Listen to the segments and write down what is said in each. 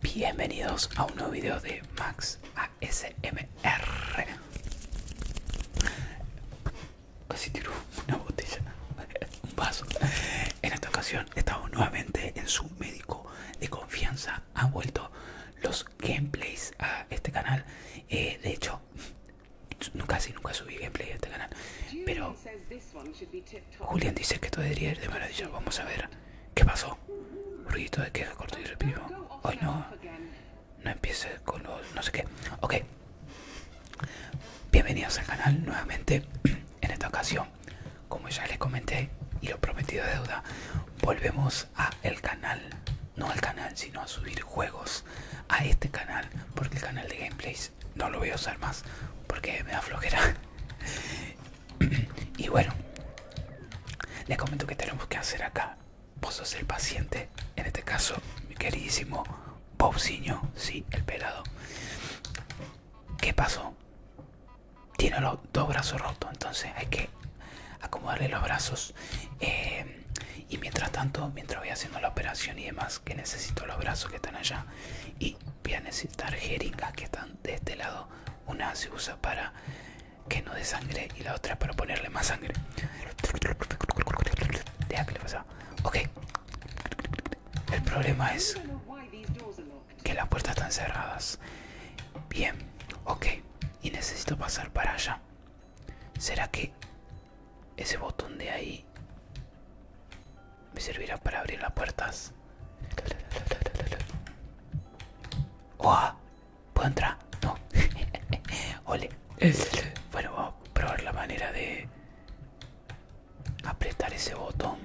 Bienvenidos a un nuevo video de Max ASMR. Casi tiró una botella, un vaso. En esta ocasión estamos nuevamente en su médico de confianza. Han vuelto los gameplays a este canal. Eh, de hecho, nunca, casi nunca subí gameplay a este canal. Pero Julián dice que todo debería ir de maravilla. Vamos a ver. ¿Qué pasó? ruidito de queja corto y repito. Hoy no. No empiece con los no sé qué. Ok. Bienvenidos al canal nuevamente. En esta ocasión, como ya les comenté y lo prometido de deuda, volvemos a el canal. No al canal, sino a subir juegos a este canal. Porque el canal de gameplays no lo voy a usar más. Porque me da flojera. y bueno, les comento que tenemos que hacer acá. Vos sos el paciente, en este caso, mi queridísimo Bobsiño, sí, el pelado. ¿Qué pasó? Tiene los dos brazos rotos, entonces hay que acomodarle los brazos. Eh, y mientras tanto, mientras voy haciendo la operación y demás, que necesito los brazos que están allá. Y voy a necesitar jeringas que están de este lado. Una se usa para que no dé sangre y la otra para ponerle más sangre. Deja le Ok. El problema es que las puertas están cerradas. Bien, ok. Y necesito pasar para allá. ¿Será que ese botón de ahí me servirá para abrir las puertas. ¡Oh! ¿Puedo entrar? No. Ole. Bueno, vamos a probar la manera de apretar ese botón.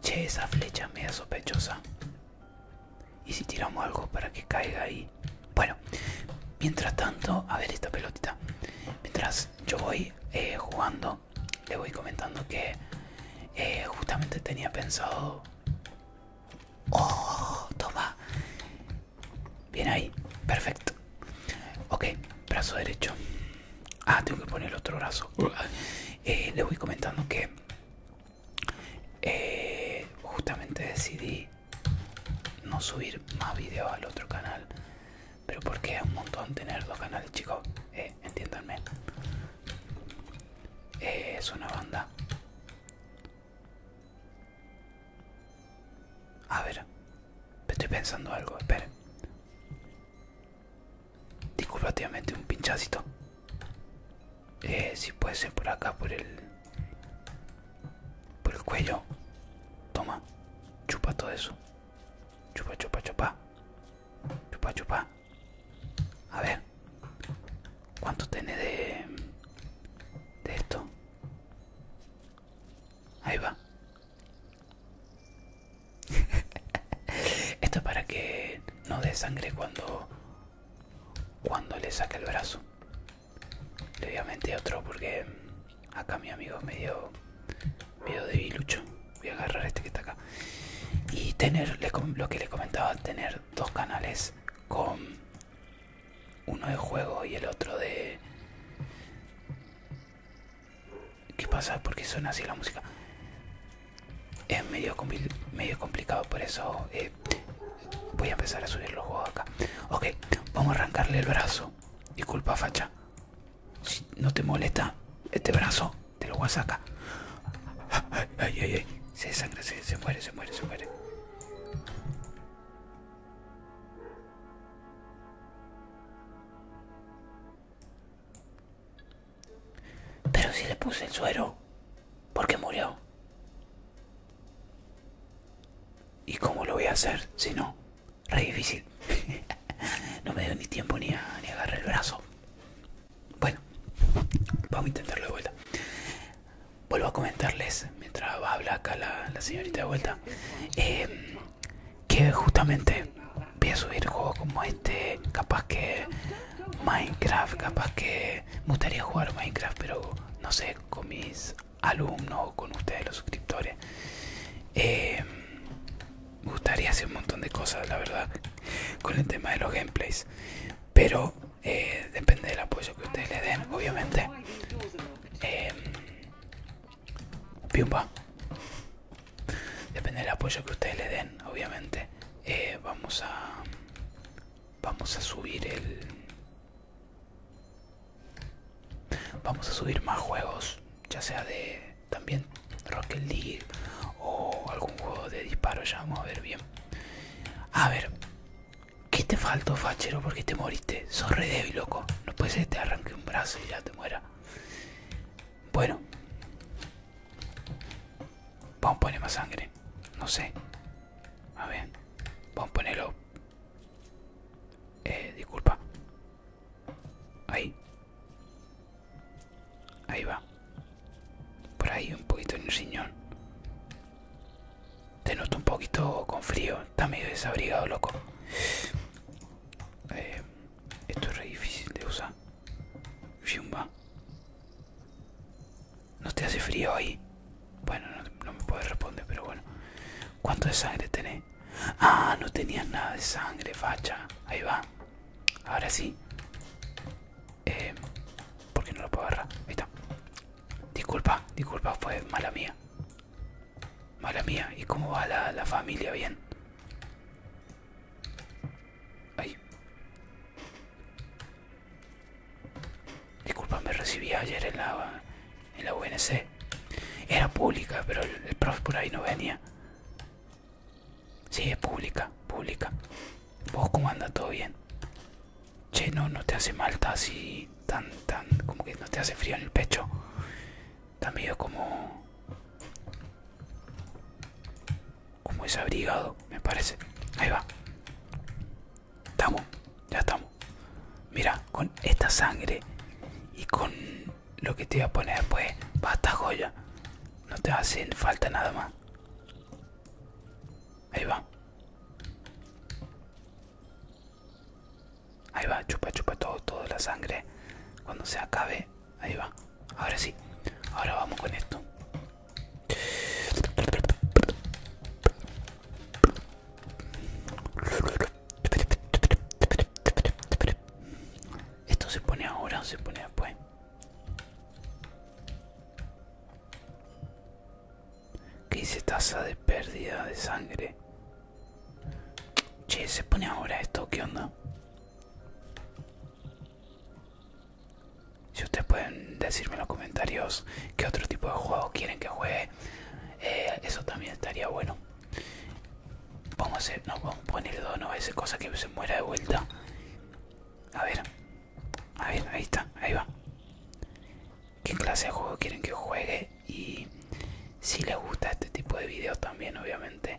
Che, esa flecha es media sospechosa. ¿Y si tiramos algo para que caiga ahí? Bueno, mientras tanto, a ver esta pelotita. Mientras yo voy eh, jugando, le voy comentando que eh, justamente tenía pensado... ¡Oh! ¡Toma! Bien ahí, perfecto. Ok, brazo derecho. Ah, tengo que poner el otro brazo. Eh, le voy comentando que eh, justamente decidí no subir más vídeos al otro canal pero porque es un montón tener dos canales, chicos. Eh, entiéndanme. Eh, es una banda. A ver, estoy pensando algo, esperen. Disculpa, un pinchacito. Eh, si puede ser por acá, por el. por el cuello. Toma, chupa todo eso. Chupa, chupa, chupa. Chupa, chupa. A ver. ¿Cuánto tiene de, de esto? Ahí va. esto para que no dé sangre cuando, cuando le saque el brazo. previamente otro porque acá mi amigo me dio medio debilucho. Voy a agarrar este que está acá. Y tener, lo que le comentaba, tener dos canales con uno de juego y el otro de... ¿Qué pasa? porque suena así la música? Es medio, medio complicado, por eso eh, voy a empezar a subir los juegos acá. Ok, vamos a arrancarle el brazo. Disculpa, facha. Si no te molesta este brazo, te lo voy a sacar. Ay, ay, ay. Se sangra, se, muere, se muere, se muere. Pero si le puse el suero, ¿por qué murió? ¿Y cómo lo voy a hacer si no? re difícil. no me dio ni tiempo ni, ni agarré el brazo. Bueno, vamos a intentarlo de vuelta. Vuelvo a comentarles mientras habla acá la, señorita de vuelta eh, que justamente voy a subir juegos como este, capaz que Minecraft, capaz que me gustaría jugar Minecraft, pero no sé, con mis alumnos o con ustedes los suscriptores. Eh, me gustaría hacer un montón de cosas, la verdad, con el tema de los gameplays. Pero eh, depende del apoyo que ustedes le den, obviamente. Em, depende del apoyo que ustedes le den, obviamente. Eh, vamos a... Vamos a subir el... Vamos a subir más juegos, ya sea de también Rocket League o algún juego de disparo, ya vamos a ver bien. A ver, ¿qué te faltó, fachero? Porque te moriste. Sos re débil, loco. No puede ser que te arranque un brazo y ya te muera. Bueno, vamos a poner más sangre. No sé. A ver, vamos a ponerlo. Eh, disculpa. Ahí. Ahí va. Por ahí, un poquito en el riñón. Te noto un poquito con frío. Está medio desabrigado, loco. Eh, esto es re difícil de usar. Fiumba. ¿No te hace frío ahí? Bueno, no, me puedes responder, pero bueno. ¿Cuánto de sangre tenés? Ah, no tenía nada de sangre, facha. Ahí va. Ahora sí. Porque eh, ¿Por qué no lo puedo agarrar? Ahí está. Disculpa, disculpa, fue mala mía. Mala mía. ¿Y cómo va la, la familia? Bien. Ahí. Disculpa, me recibí ayer en la, en la UNC. Era pública, pero el, por ahí no venía. Sí, es pública, pública. ¿Vos cómo anda? ¿Todo bien? Che, no, no te hace mal, está así tan, tan, como que no te hace frío en el pecho. también medio como... Como abrigado me parece. Ahí va. Estamos, ya estamos. Mira, con esta sangre y con lo que te voy a poner, pues, basta joya. No te hacen falta nada más. Ahí va. Ahí va, chupa, chupa todo, toda la sangre. Cuando se acabe, ahí va. Ahora sí, ahora vamos con esto. ¿Esto se pone ahora o se pone después? ¿Qué dice tasa de pérdida de sangre? Che, ¿se pone ahora esto? ¿Qué onda? Si ustedes pueden decirme en los comentarios qué otro tipo de juego quieren que juegue eh, eso también estaría bueno vamos a hacer no a poner dos no cosa que se muera de vuelta a ver a ver ahí está ahí va qué clase de juego quieren que juegue y si les gusta este tipo de videos también obviamente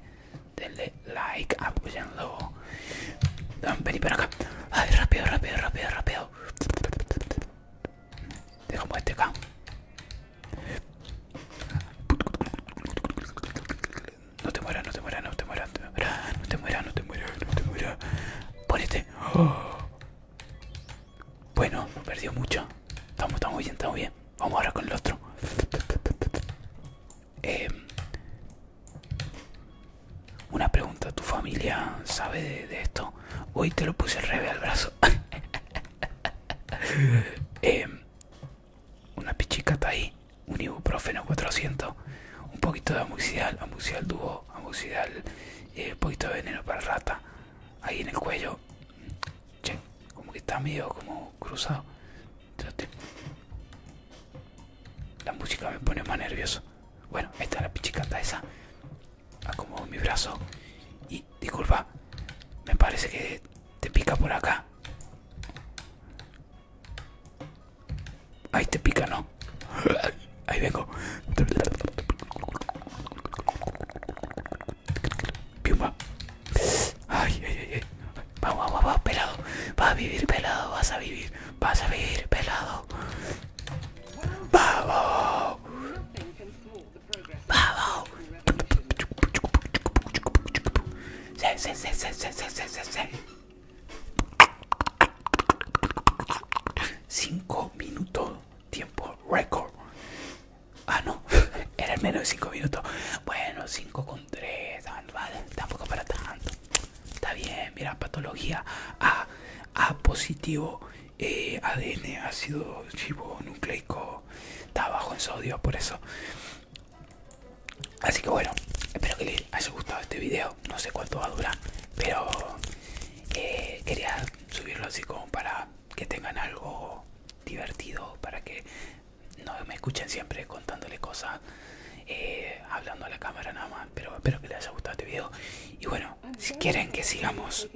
denle like apoyenlo vení para acá a rápido rápido rápido rápido Dejamos este acá. No te mueras, no te mueras, no te mueras, no te mueras, no te mueras, no te mueras, Bueno, perdió mucho. Estamos, estamos bien, estamos bien. Vamos ahora con el otro. Eh, una pregunta, ¿tu familia sabe de esto? Hoy te lo puse el revés al brazo. Em, una pichicata ahí. Un ibuprofeno 400. Un poquito de amuxidal. Amuxidal dúo. Amuxidal. Eh, un poquito de veneno para rata. Ahí en el cuello. Che, como que está medio como cruzado. La música me pone más nervioso. Bueno, esta es la pichicata esa. Acomodo mi brazo. Y disculpa, me parece que te pica por acá. Ahí te pica, ¿no? Ahí vengo. Vamos, vamos, pelado. Vas a vivir pelado, vas a vivir. Vas a vivir pelado. ¡Vamos! 5 minutos tiempo récord Ah no, era menos de 5 minutos Bueno, 5 con 3 ah, Tampoco para tanto Está bien, mira, patología A positivo ha eh, ADN, ácido nucleico está bajo en sodio, por eso. Así que bueno, espero que les haya gustado este video. No sé cuánto va a durar, pero eh, quería subirlo así como para que tengan algo divertido, para que no me escuchen siempre contándole cosas, eh, hablando a la cámara nada más pero espero que les haya gustado este video. Y bueno, si quieren que sigamos,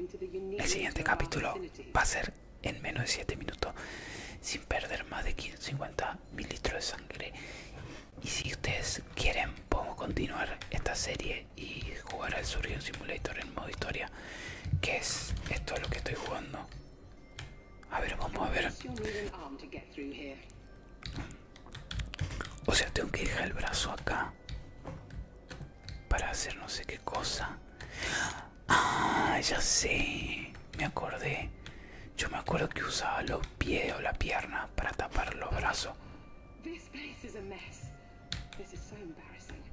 el siguiente capítulo va a ser en menos de 7 minutos, sin perder más de 50 mililitros de sangre. Y si ustedes quieren, podemos continuar esta serie y jugar al Surgeon Simulator en modo historia, que es esto lo que estoy jugando. A ver, vamos a ver. O sea, tengo que dejar el brazo acá para hacer no sé qué cosa. Ah, ya sé, me acordé. Yo me acuerdo que usaba los pies o la pierna para tapar los brazos.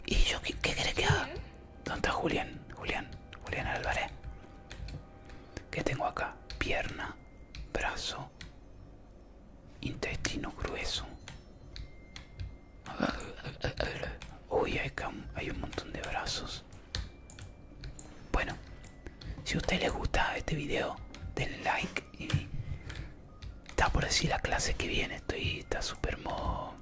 ¿Y yo qué, crees que haga? ¿Dónde está Julián? Julián, Julián Álvarez. ¿Qué tengo acá? Pierna, brazo, Intestino grueso. Uy, hay un montón de brazos. Bueno, si a le les gusta este video, denle like y está por decir la clase que viene. Estoy, está super modo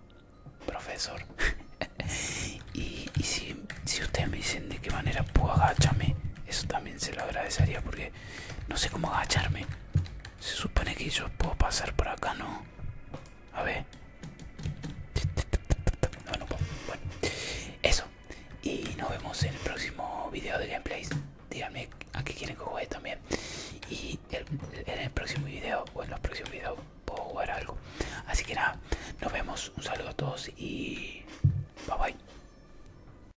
profesor. y, si, si ustedes me dicen de qué manera puedo agacharme, eso también se lo agradecería porque no sé cómo agacharme. Se supone que yo puedo pasar por acá, ¿no? A ver. Eso. Y nos vemos en el próximo video de Gameplay Díganme a qué quieren que juegue también. Y en el próximo video o en los próximos videos puedo jugar algo. Así que nada, nos vemos. Un saludo a todos y bye bye.